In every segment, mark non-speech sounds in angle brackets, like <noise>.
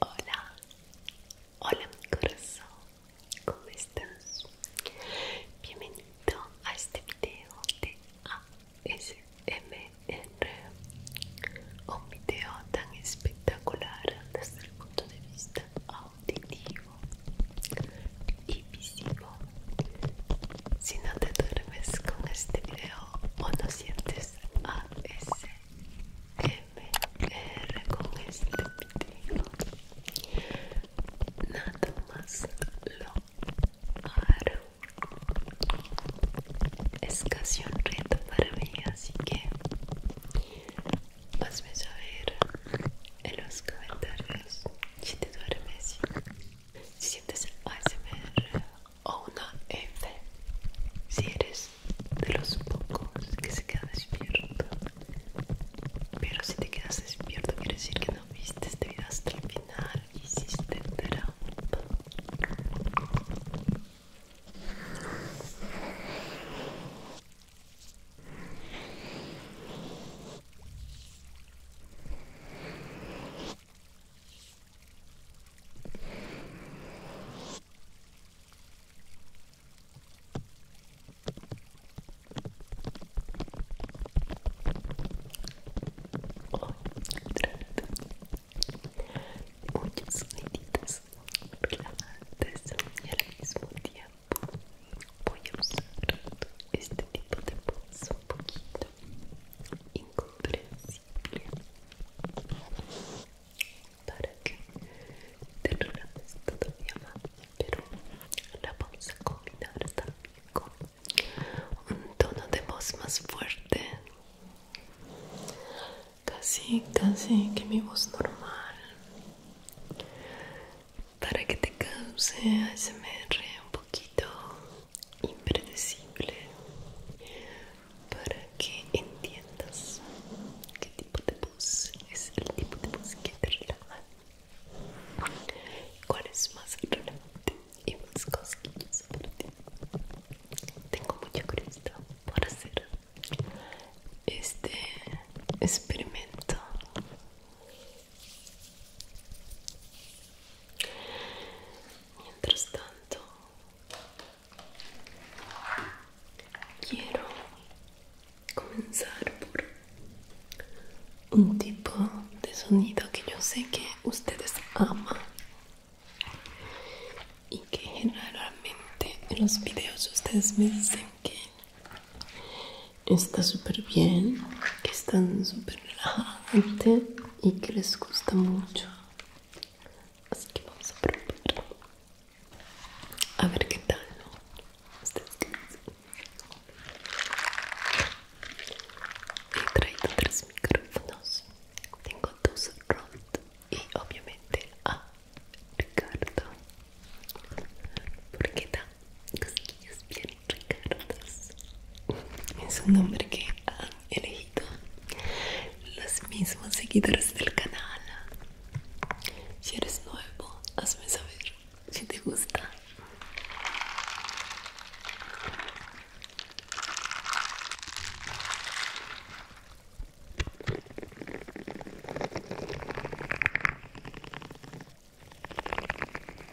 Hola, hola mi corazón, ¿cómo estás? Bienvenido a este video de ASMR, un video tan espectacular desde el punto de vista auditivo y visivo. Si no te duermes con este video o no sientes ASMR con este video. Nada más lo haré Es casi un reto para mí, así que hazme saber en los comentarios si te duermes, si sientes ASMR o una F si eres de los pocos que se queda despierto. Pero si te quedas despierto quiere decir que no viste este video hasta el final, hiciste muchas medidas relajantes y al mismo tiempo voy a usar este tipo de bolsa un poquito incomprensible para que te relajes todavía más pero la vamos a combinar también con un tono de voz más fuerte casi casi que mi voz normal para que te cause ASMR un poquito impredecible para que entiendas qué tipo de bus es el tipo de bus que te relaja cuál es más relajante y más cosquilloso para ti tengo mucha curiosidad por hacer este experimento Mientras tanto, quiero comenzar por un tipo de sonido que yo sé que ustedes aman y que generalmente en los videos ustedes me dicen que está súper bien, que están súper relajantes y que les gusta mucho así que vamos a probar a ver qué tal ¿no? ¿Ustedes y he traído tres micrófonos tengo dos Rod y obviamente a Ricardo porque da cosquillas bien Ricardo, es un nombre que han elegido los mismos seguidores del canal si eres nuevo hazme saber si te gusta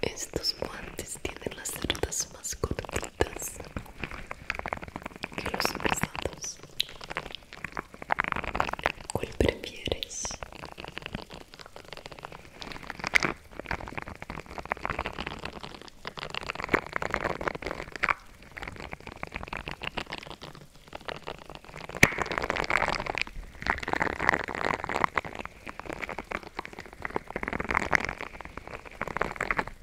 Estos guantes tienen las cerdas más cortas bonitas que los pesados. ¿Cuál prefieres?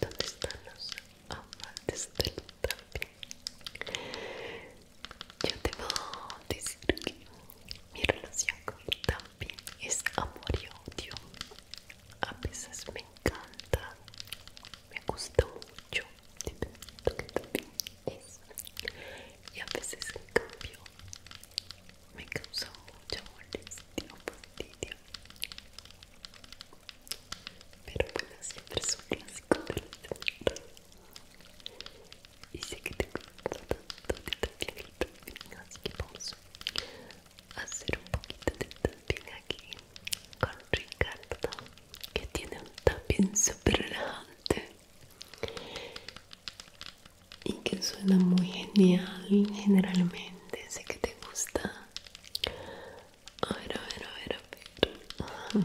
¿Dónde están los amantes del tapping? yo te que decir que mi relación con Tampi es amor y odio. A veces me encanta, me gusta mucho, dependiendo que también es. Y a veces en cambio me causa mucha molestia o fastidio. Pero bueno, siempre es un clásico de y sé que te gusta tanto también así que vamos a hacer un poquito de aquí con Ricardo, que tiene un tapping súper y que suena muy genial generalmente. Sé que te gusta. A ver, a ver, a ver, a ver.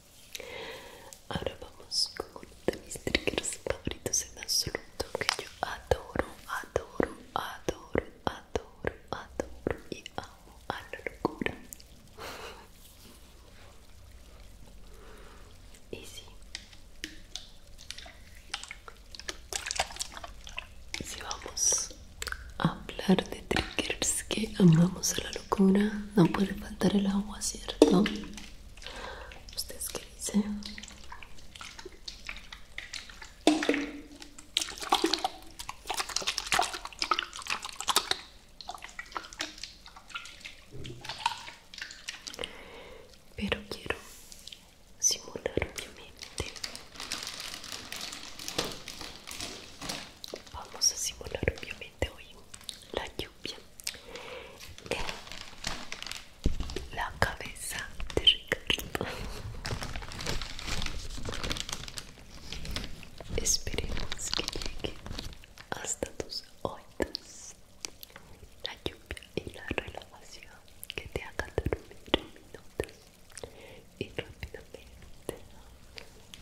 Ahora vamos con mis triggers favoritos en absoluto que yo adoro, adoro, adoro, adoro, adoro y amo a la locura. <laughs> Y sí, si vamos a hablar de triggers que amamos a la locura, no puede faltar el agua, ¿cierto? ¿Ustedes qué dicen? Pero quiero simular obviamente. Vamos a simular obviamente hoy la bien, eh, la cabeza de Ricardo. Esperemos que llegue hasta tus oídos la lluvia y la relajación que te haga dormir minutos y rápidamente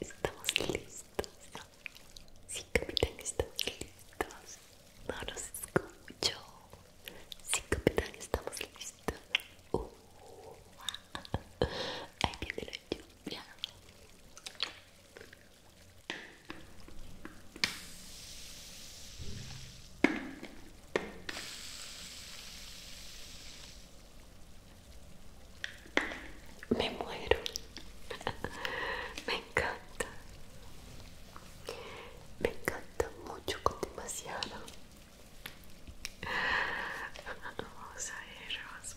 Estamos listos. Sí, capitán, estamos listos. No los escucho. Sí, capitán, estamos listos. Uh, <laughs> viene la lluvia. Me muero, <laughs> me encanta, me encanta muito con demasiado. <laughs> Vamos a ver, vamos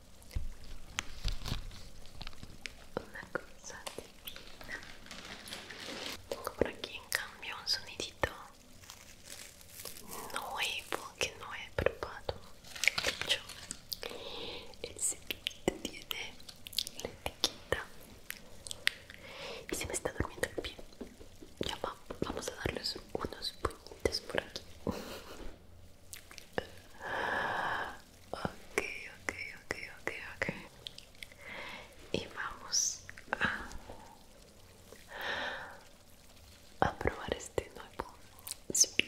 Una cosa divina. Tengo por aquí en cambio un sonidito nuevo que no he probado. hecho, el se tiene la etiqueta. Y se me está durmiendo el pie. Ya vamos a darles unos puñitos por aquí. Okay, okay, okay, okay, okay. Y vamos a, probar este nuevo speed.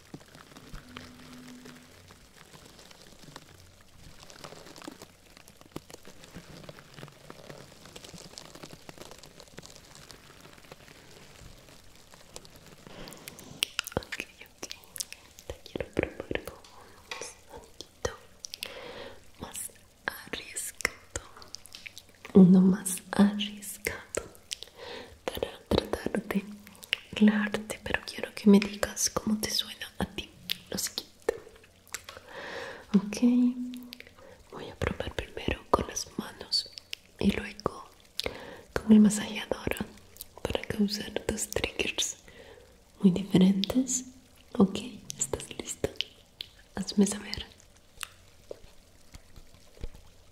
Ok, ok. Te quiero probar un poquito más arriesgado. Uno más arriesgado para de relajarte, pero quiero que me digas cómo te suena a ti lo siguiente. Ok, voy a probar primero con las manos y luego con el masajeador para causar dos triggers muy diferentes. Ok, ¿estás listo. Hazme saber.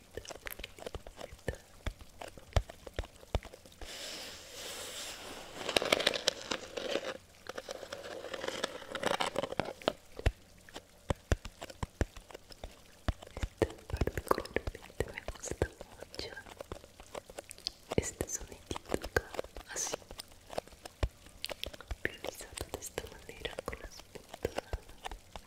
Este es un par de colores que te vemos Este sonidito acá, así realizado de esta manera con las puntas.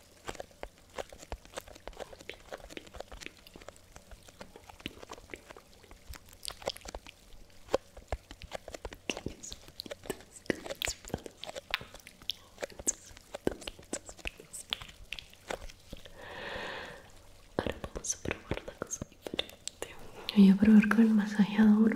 Ahora vamos a probar la cosa diferente. Voy a probar con el masajeador.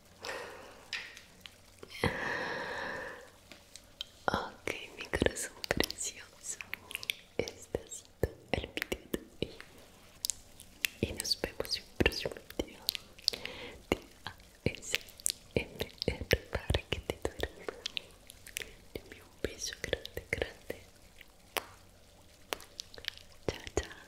Ok, mi corazón precioso. Estás el video de hoy. Y nos vemos en un próximo video. De ASMR para que te dure. Te envío un grande, grande. Tchau, tchau.